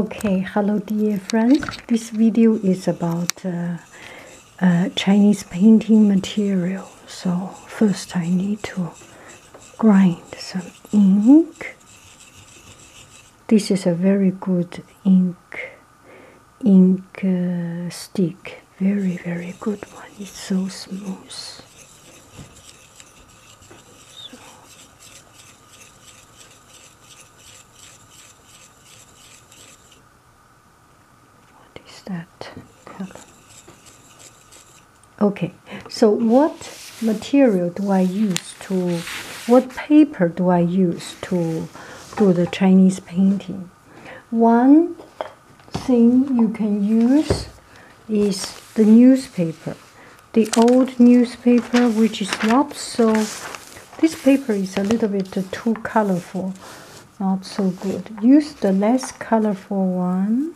Okay, hello dear friends. This video is about uh, uh, Chinese painting material. So first I need to grind some ink. This is a very good ink, ink uh, stick. Very, very good one. It's so smooth. What is that? Okay, so what material do I use to, what paper do I use to do the Chinese painting? One thing you can use is the newspaper the old newspaper which is not so this paper is a little bit too colorful not so good use the less colorful one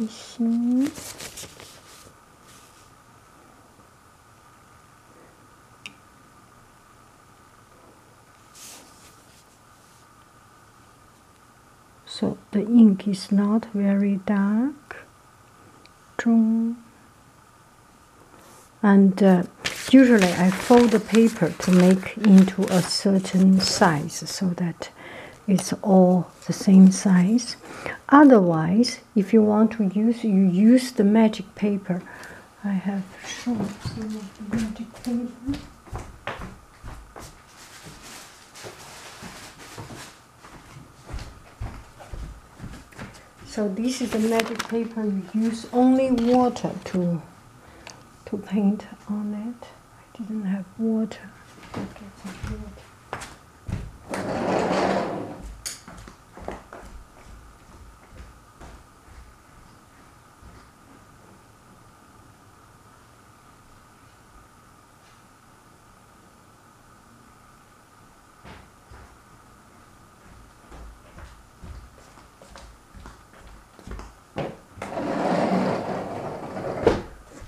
mm -hmm so the ink is not very dark and uh, usually I fold the paper to make into a certain size so that it's all the same size otherwise if you want to use you use the magic paper I have shown some the magic paper so this is the magic paper. You use only water to to paint on it. I didn't have water.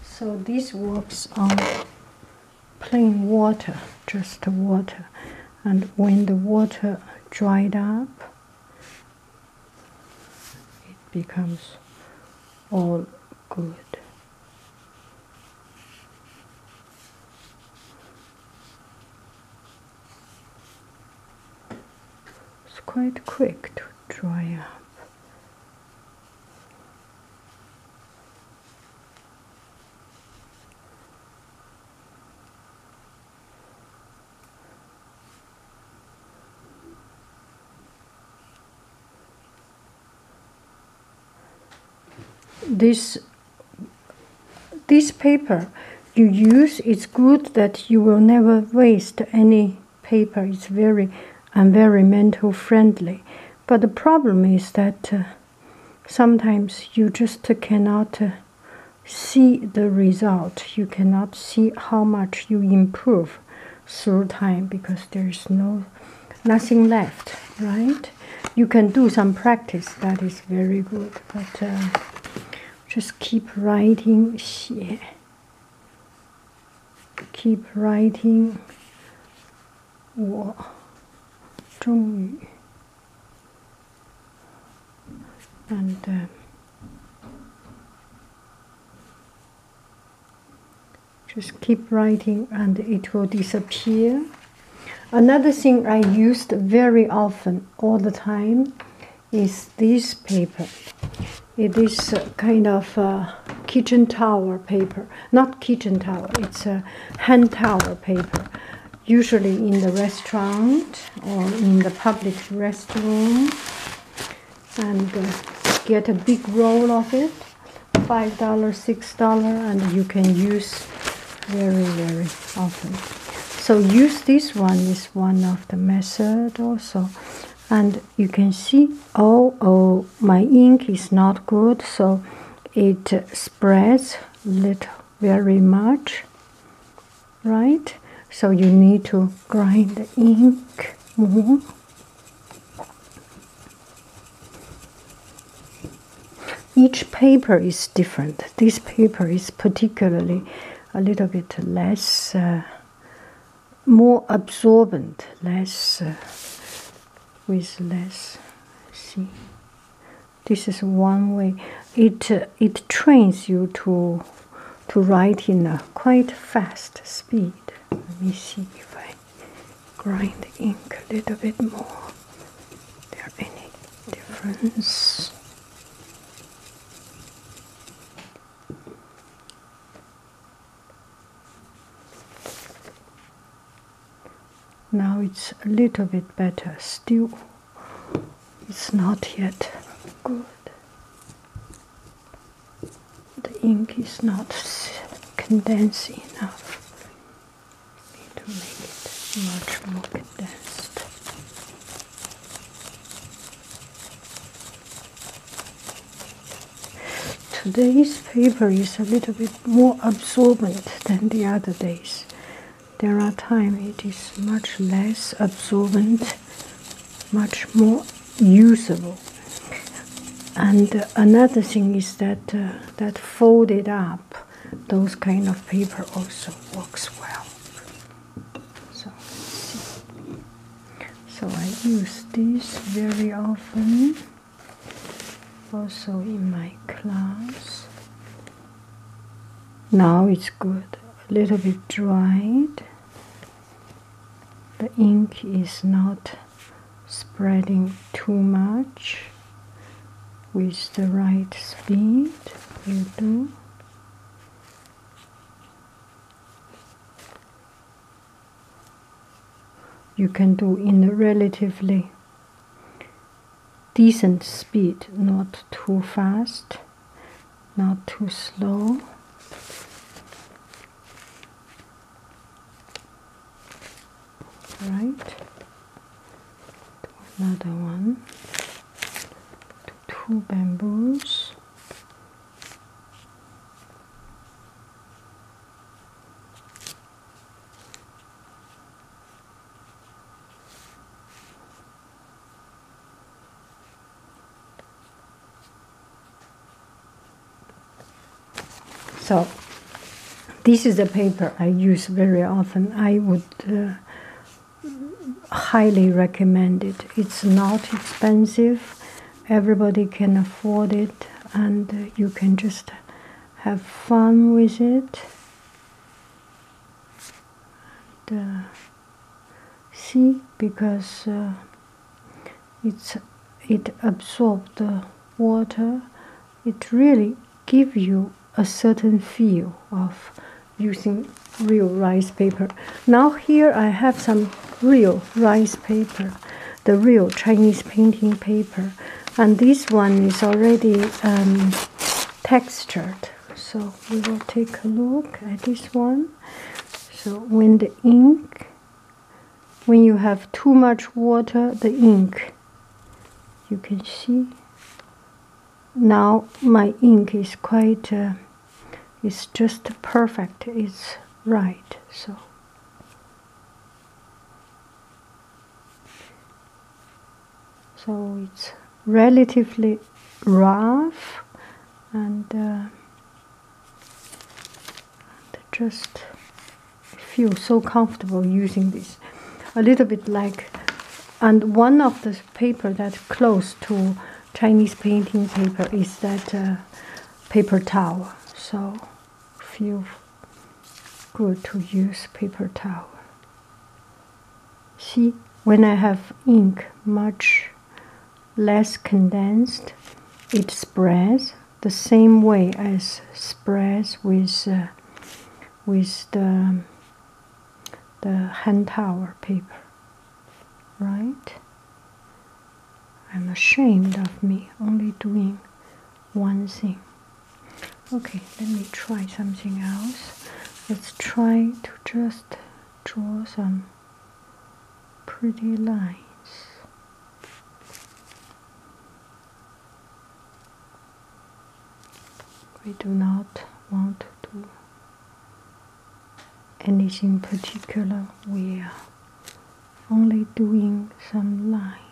So this works on plain water, just water. And when the water dried up, it becomes all good. It's quite quick to dry up. This, this paper you use, it's good that you will never waste any paper. It's very environmental friendly. But the problem is that uh, sometimes you just cannot uh, see the result. You cannot see how much you improve through time because there's no nothing left right you can do some practice that is very good but uh, just keep writing yeah. keep writing 我终于 and uh, just keep writing and it will disappear another thing i used very often all the time is this paper it is kind of kitchen towel paper not kitchen towel it's a hand towel paper usually in the restaurant or in the public restroom and uh, get a big roll of it five dollar six dollar and you can use very very often so use this one is one of the method also and you can see oh oh my ink is not good so it spreads little very much right so you need to grind the ink mm-hmm. Each paper is different. This paper is particularly a little bit less, uh, more absorbent, less, uh, with less. See, this is one way. It uh, it trains you to to write in a quite fast speed. Let me see if I grind the ink a little bit more. there any difference? Now it's a little bit better still. It's not yet good the ink is not condensed enough. to make it much more condensed. Today's paper is a little bit more absorbent than the other days. There are times it is much less absorbent, much more usable. And uh, another thing is that uh, that folded up, those kind of paper also works well. So, so I use this very often, also in my class. Now it's good, a little bit dried. The ink is not spreading too much with the right speed you do you can do in a relatively decent speed not too fast not too slow right to another one to two bamboos so this is a paper I use very often. I would uh, highly recommend it. It's not expensive. Everybody can afford it and you can just have fun with it. Uh, see because uh, it's it absorbs the water it really gives you a certain feel of using real rice paper now here i have some real rice paper the real chinese painting paper and this one is already um, textured so we will take a look at this one so when the ink when you have too much water the ink you can see now my ink is quite uh, it's just perfect it's right so so it's relatively rough and uh, and just feel so comfortable using this a little bit like and one of the paper that's close to chinese painting paper is that uh, paper towel so feel good to use paper towel see when i have ink much less condensed it spreads the same way as spreads with uh, with the the hand towel paper right i'm ashamed of me only doing one thing okay let me try something else let's try to just draw some pretty lines. We do not want to anything particular, we are only doing some lines.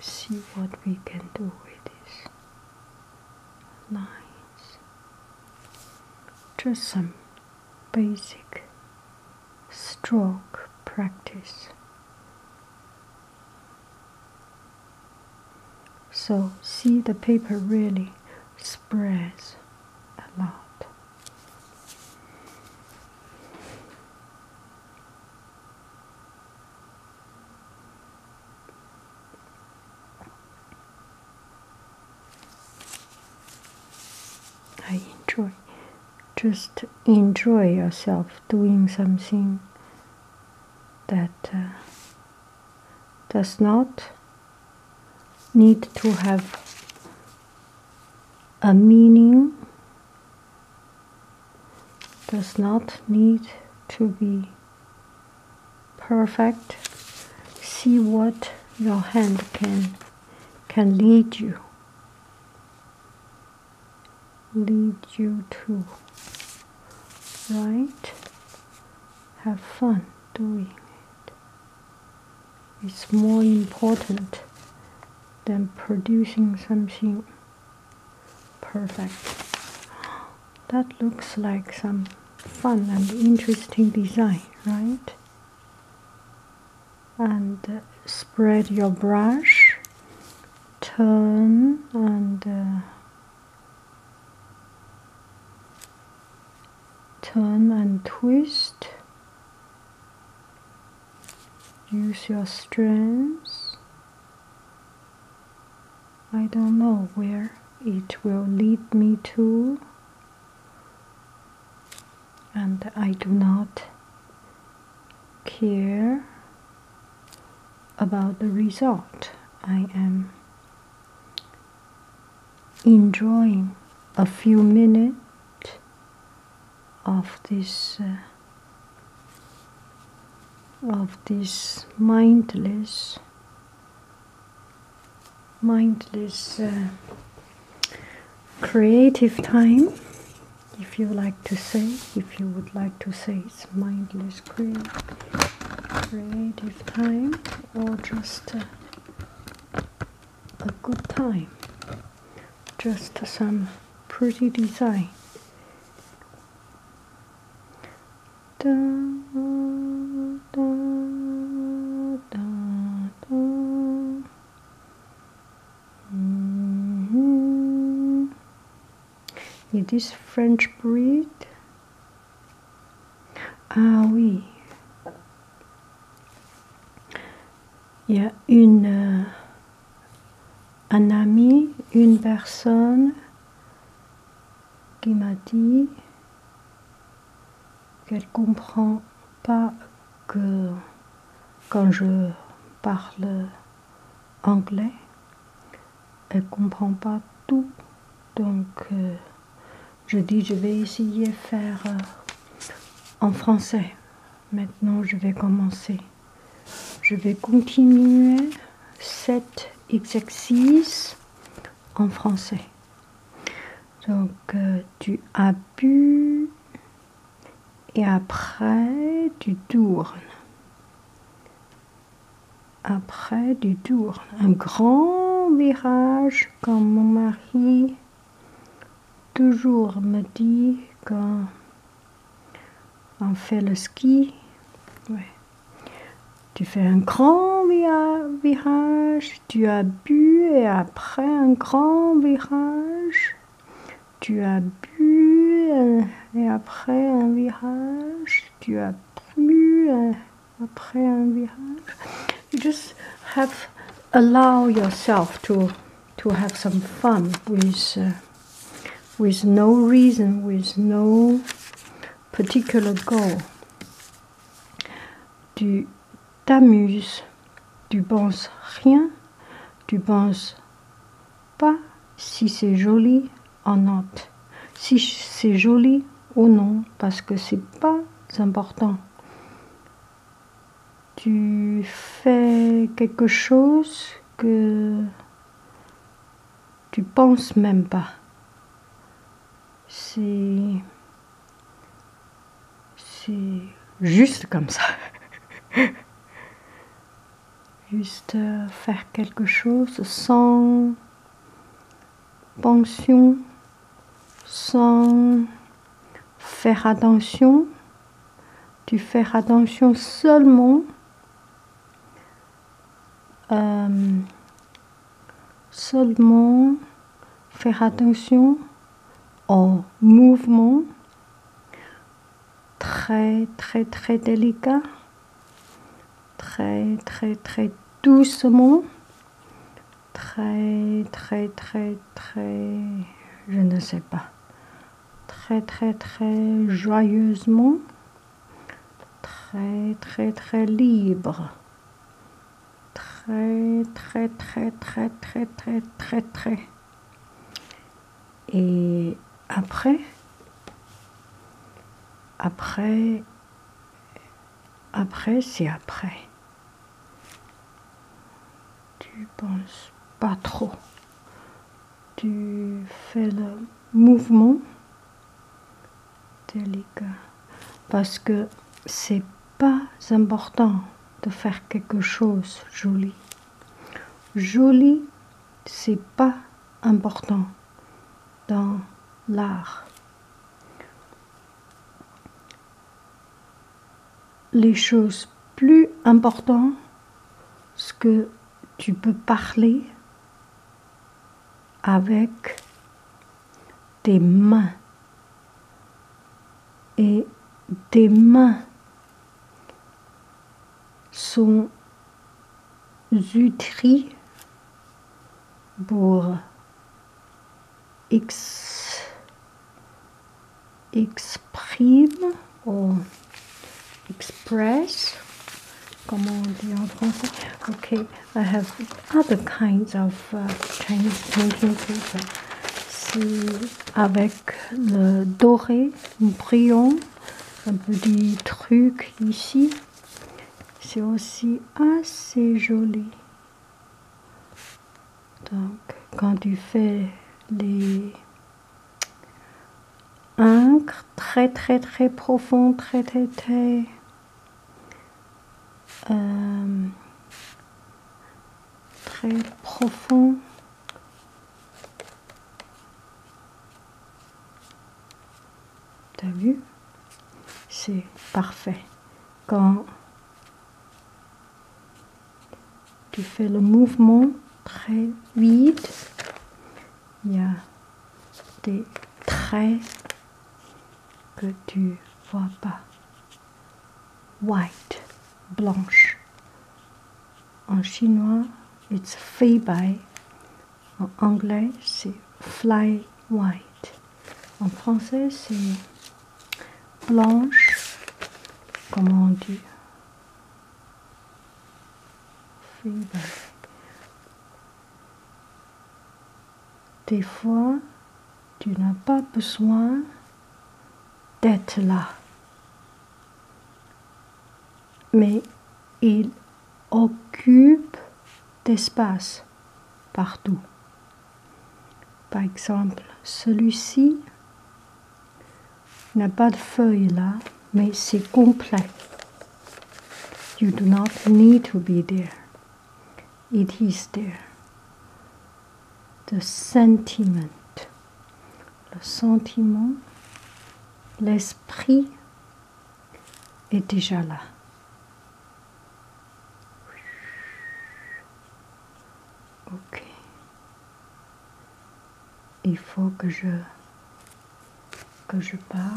See what we can do with these lines. Just some basic stroke practice. So see the paper really spreads a lot. I enjoy. Just enjoy yourself doing something that uh, does not need to have a meaning, does not need to be perfect. See what your hand can can lead you lead you to right have fun doing it it's more important than producing something perfect that looks like some fun and interesting design right and spread your brush turn and uh, turn and twist use your strength I don't know where it will lead me to and I do not care about the result. I am enjoying a few minutes of this uh, of this mindless mindless uh, creative time, if you like to say, if you would like to say it's mindless cre creative time or just uh, a good time, just some pretty design. Da Mm -hmm. French breed. Ah oui. Il y a une, euh, un ami, une personne qui m'a dit qu'elle comprend pas que quand je parle anglais, elle comprend pas tout. Donc euh, je dis je vais essayer de faire euh, en français. Maintenant je vais commencer. Je vais continuer cet exercice en français. Donc euh, tu as pu et après tu tournes. Après tu tournes. Un grand virage comme mon mari toujours me dit quand on fait le ski. Tu fais un grand virage, tu as bu et après un grand virage, tu as bu et après un virage, tu as bu et après un virage. You just have allow yourself to to have some fun with uh, with no reason, with no particular goal. Tu t'amuses, tu penses rien, tu penses pas si c'est joli en note, si c'est joli ou non, parce que c'est pas important. Tu fais quelque chose que tu penses même pas c'est. C'est juste comme ça. juste euh, faire quelque chose sans pension, sans faire attention. Tu fais attention seulement euh, Seulement faire attention au mouvement très très très délicat, très très très doucement, très très très très je ne sais pas, très très très joyeusement, très très très libre très, très, très, très, très, très, très, très. Et après, après, après, c'est après. Tu penses pas trop. Tu fais le mouvement délicat parce que c'est pas important de faire quelque chose joli. Joli, c'est pas important dans l'art. Les choses plus importantes, ce que tu peux parler avec tes mains et tes mains sont utri pour exprimer exprime ou express, comment on dit en français, ok, j'ai have other kinds of uh, Chinese C'est avec le doré brillant, un petit truc ici. C'est aussi assez joli. Donc, quand tu fais les encres très très très profondes, très très très euh, très profond. T'as vu C'est parfait. Quand tu fais le mouvement très vite, il y a des traits que tu vois pas. White, blanche. En chinois, it's fei bai. En anglais, c'est fly white. En français, c'est blanche. Comment on dit des fois, tu n'as pas besoin d'être là. Mais il occupe d'espace partout. Par exemple, celui-ci n'a pas de feuille là, mais c'est complet. You do not need to be there. It is there. The sentiment. Le sentiment, l'esprit est déjà là. Ok. Il faut que je que je parle.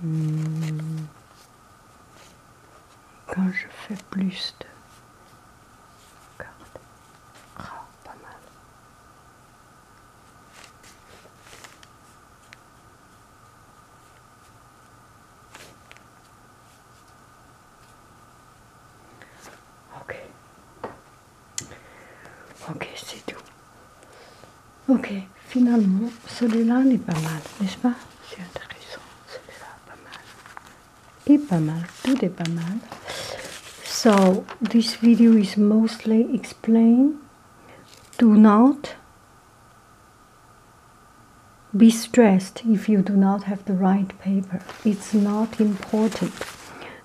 Hmm. Quand je fais plus de cordes, ah, pas mal. Ok. Ok, c'est tout. Ok, finalement, celui-là, il pas mal, n'est-ce pas C'est intéressant, celui-là, pas mal. Et pas mal, tout est pas mal. So, this video is mostly explain. Do not be stressed if you do not have the right paper. It's not important.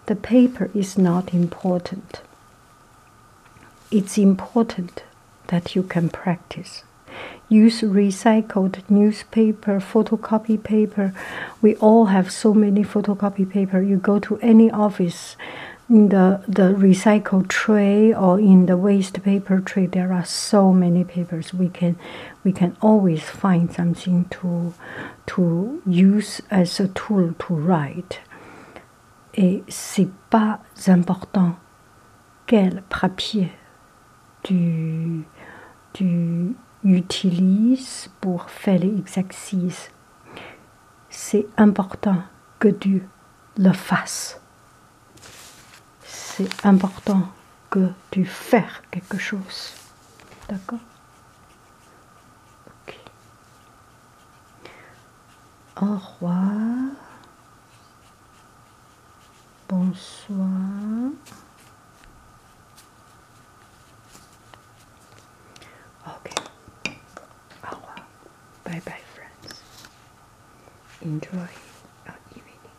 The paper is not important. It's important that you can practice. Use recycled newspaper, photocopy paper. We all have so many photocopy paper. You go to any office, in the, the recycled tray or in the waste paper tray, there are so many papers we can we can always find something to to use as a tool to write. Et c'est pas important quel papier tu, tu utilises pour faire exercices. C'est important que tu le fasses. C'est important que tu faire quelque chose. D'accord Au revoir. Bonsoir. Ok. Au revoir. Bye bye, friends. Enjoy our evening.